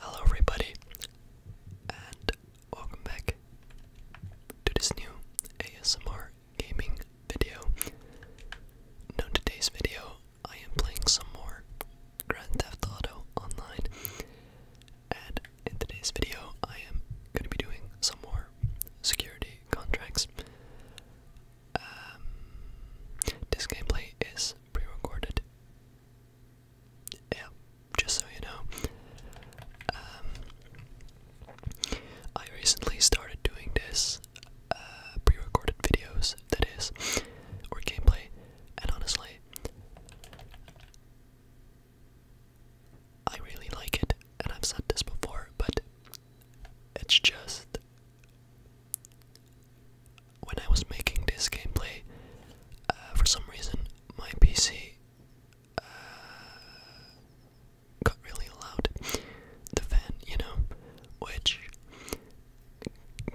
Hello, everybody, and welcome back to this new ASMR gaming video. Now, today's video, I am playing some more Grand Theft Auto Online, and in today's video, I am going to be doing some more security contracts. Um, this gameplay is pre-recorded. Yeah, just so you know. Um, I recently started doing this uh, pre-recorded videos, that is, or gameplay, and honestly, I really like it, and I've said this before, but it's just when I was making this gameplay, uh, for some reason my PC uh, got really loud. The fan, you know, which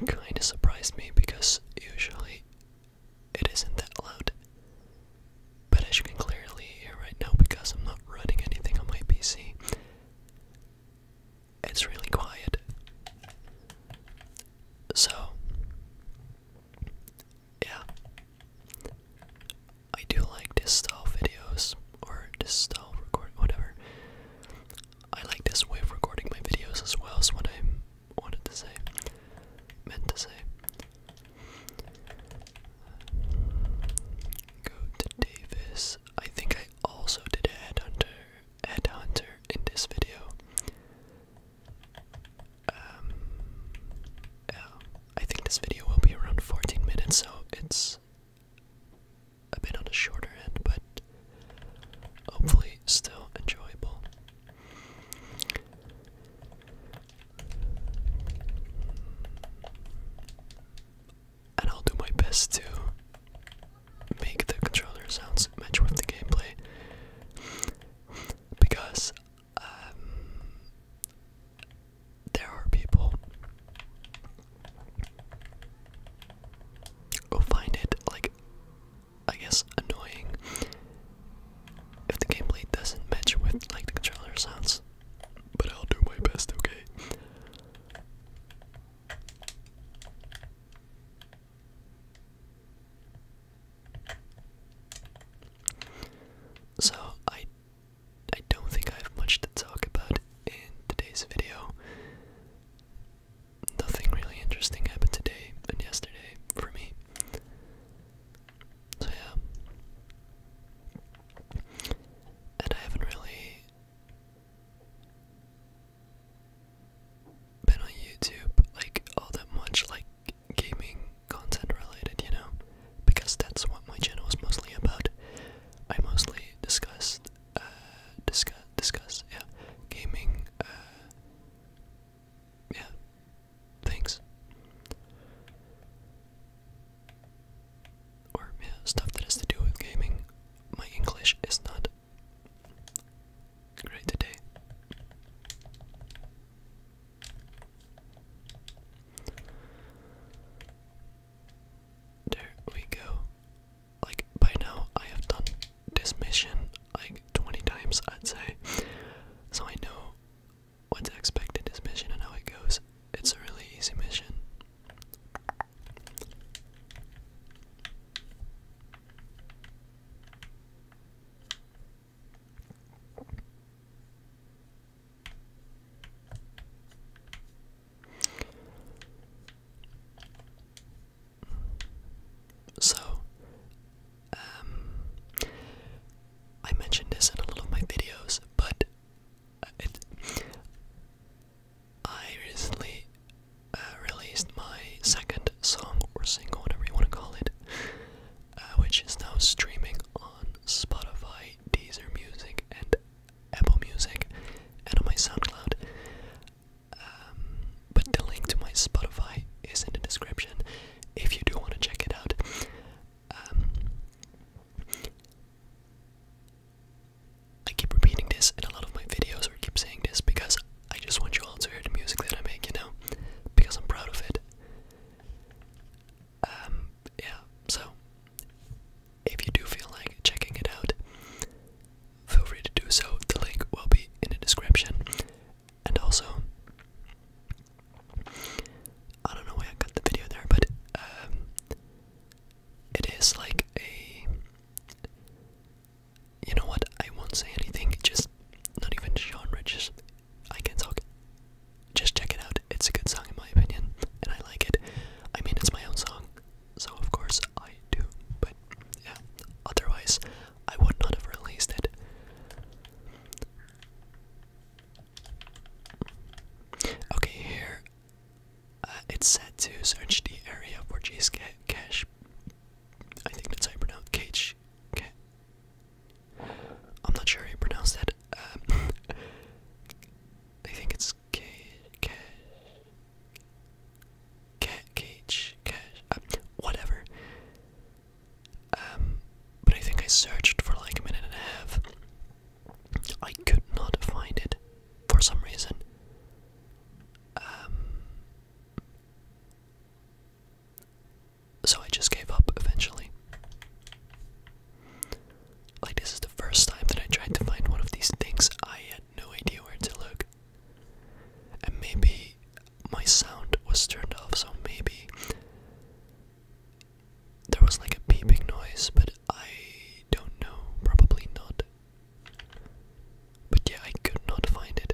kind of surprised me because usually it isn't that loud. But as you can clearly hear right now, because I'm not running anything on my PC, it's really quiet. So, yeah. I do like this style videos, or this style recording, whatever. I like this way of recording my videos as well, is what I wanted to say, meant to say. Go to Davis. I think I also did a headhunter headhunter in this video. Um I think this video will be around 14 minutes, so it's a bit on the shorter end, but hopefully still enjoyable. And I'll do my best to make the controller sounds match with the gameplay because um, there are people who find it like I guess annoying if the gameplay doesn't match with like the controller sounds. But I'll do my best, okay? So I I don't think I have much to talk about in today's video. Nothing really interesting happened today and yesterday for me. So yeah. And I haven't really been on YouTube like all that much like gaming content related, you know? Because that's what my channel is mostly about. I mostly discussed uh discuss discuss yeah gaming uh yeah Thanks. Or, stuff that has to do with gaming. My English is not great today. There we go. Like, by now, I have done this mission like 20 times, I'd say. So I know What's expected this mission and how it goes. It's a really easy mission. So, um, I mentioned this in a lot of my videos, but uh, it, I recently uh, released my second song or single, whatever you want to call it, uh, which is now streaming on Spotify, Deezer Music, and Apple Music, and on my SoundCloud. Um, but the link to my Spotify is in the description if you do want to check it out. Um, I keep repeating this in a lot of my videos, or keep saying this because I just want you all to hear the music that I make, you know, because I'm proud of it. Um, yeah, so if you do feel like checking it out, feel free to do so. The link will be in the description. And also, I don't know why I cut the video there, but um, it is like a. You know what? I won't say anything. Just not even genre. Just I can talk. Just check it out. It's a good song in my opinion, and I like it. I mean, it's my own song, so of course I do. But yeah, otherwise, I would not have released it. Okay, here uh, it's set to search the area for G's cache. I think that's how you pronounce cache. Okay. I'm not sure how you pronounce that. Um, I think it's ca ca ca cage, cache, uh, whatever. Um, but I think I searched for like a minute and a half. I could not find it for some reason. Um, so I just gave up eventually. Like, this is the first time that I tried to find one of these things. I had no idea where to look. And maybe my sound was turned off, so maybe there was like a beeping noise, but I don't know, probably not. But yeah, I could not find it,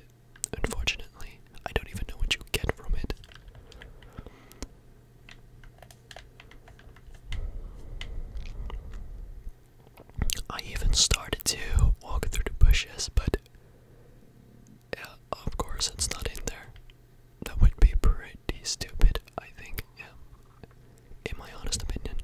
unfortunately. I don't even know what you get from it. I even started to walk through the bushes, but yeah, of course it's not in there. That would be pretty stupid, I think, yeah. In my honest opinion.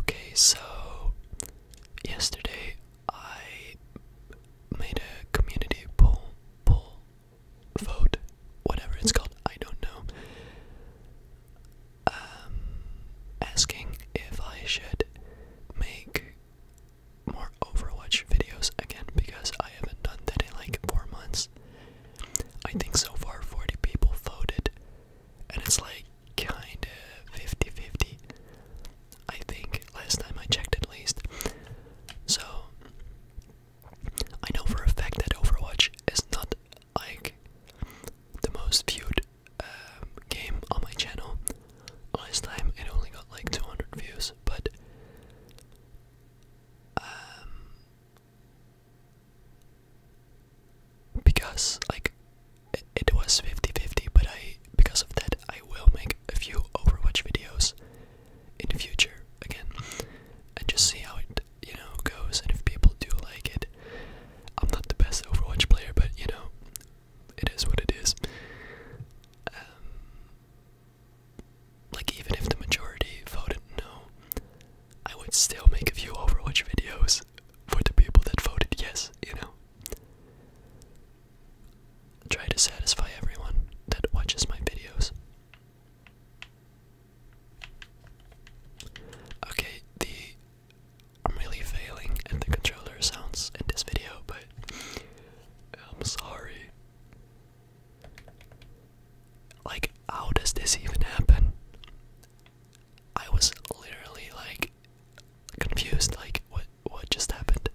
Okay, so yesterday I made a community poll, poll, vote, whatever it's called, I don't know, um, asking if I should make more Overwatch videos again because I haven't done that in like four months. I think so far 40 people voted and it's like kind of 50 50. I think last time I checked at least. So, I know for a fact that Overwatch is not like the most viewed um, game on my channel. Last time it only got like 200 views, but um, because like it, was 50-50 but I because of that I will make a few Overwatch videos in the future again and just see how it you know goes and if people do like it I'm not the best Overwatch player but you know it is what it is um, like even if the majority voted no I would still make a few Overwatch videos for the people that voted yes, you know. Try to satisfy everyone that watches my videos. Okay, the I'm really failing at the controller sounds in this video, but I'm sorry. Like, how does this even happen? I was literally like confused, like what what just happened.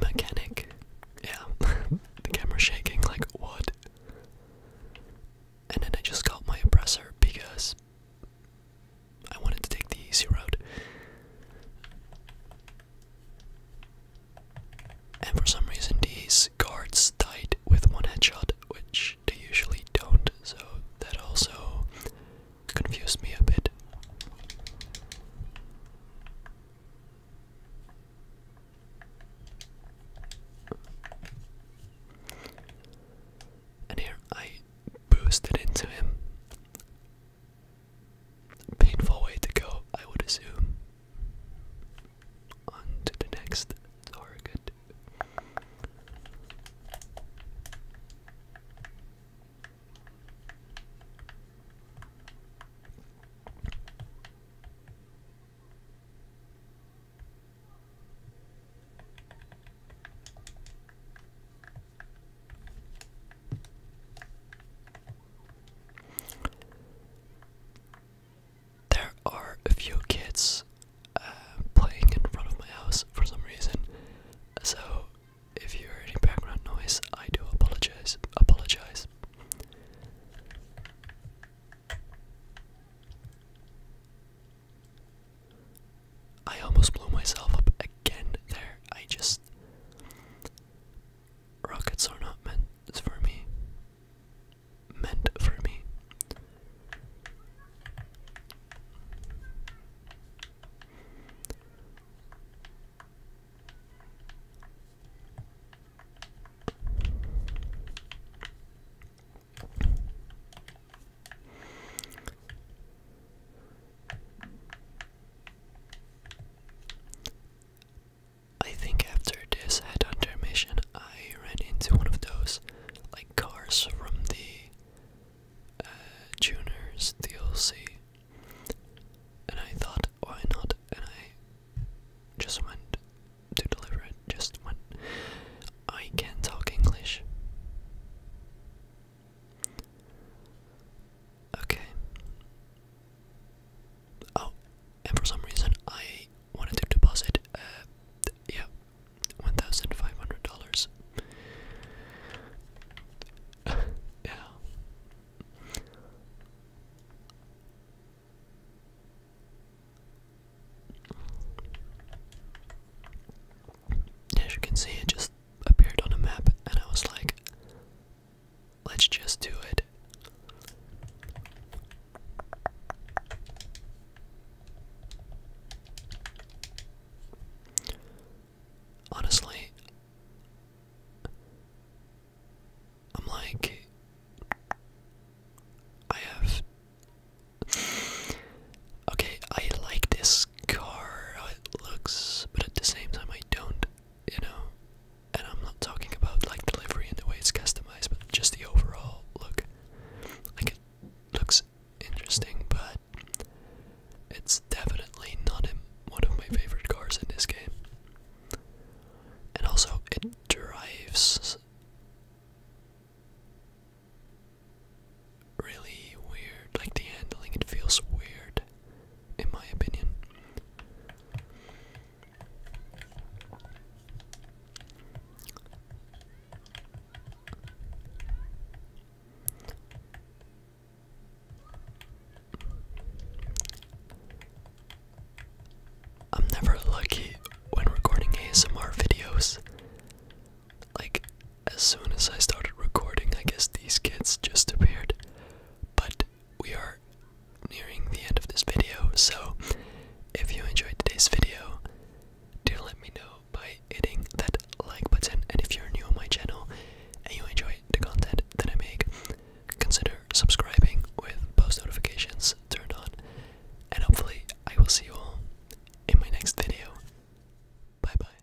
Mechanic. Yeah. the camera shaking like what? And then I just called my oppressor because I wanted to take the easy road. And for some reason, these guards died with one headshot, which they usually don't, so that also confused me a bit. And here I boosted into him. Painful way to go, I would assume. On to the next target. There are a few kids uh, playing in front of my house for some reason, so if you hear any background noise, I do apologize. Apologize. I almost blew myself up again there. I just. Rockets are not men. It's for me, meant for me. I think after this headhunter mission, I ran into one of those like cars from the uh, Juners DLC, and I thought, why not? And I just went to deliver it. Just went. I can not talk English. Okay. Oh, and for some reason I wanted to deposit, uh, yeah, one thousand five hundred dollars. yeah. As you can see, it just appeared on the map, and I was like, Let's just do it. Honestly, I'm like, I have. Okay, I like this car, it looks, but at the same time, I don't you know, and I'm not talking about like delivery and the way it's customized, but just the overall look. Like it looks interesting, but it's definitely not one of my favorite cars in this game. And also, it drives really weird. Like the handling, it feels weird in my opinion. I'm never lucky when recording ASMR videos. Like, as soon as I started recording, I guess these kids just appeared. But we are nearing the end of this video, so if you enjoyed today's video, do let me know by hitting that like button. And if you're new on my channel and you enjoy the content that I make, consider subscribing with post notifications turned on. And hopefully, I will see you all in my next video. Bye bye.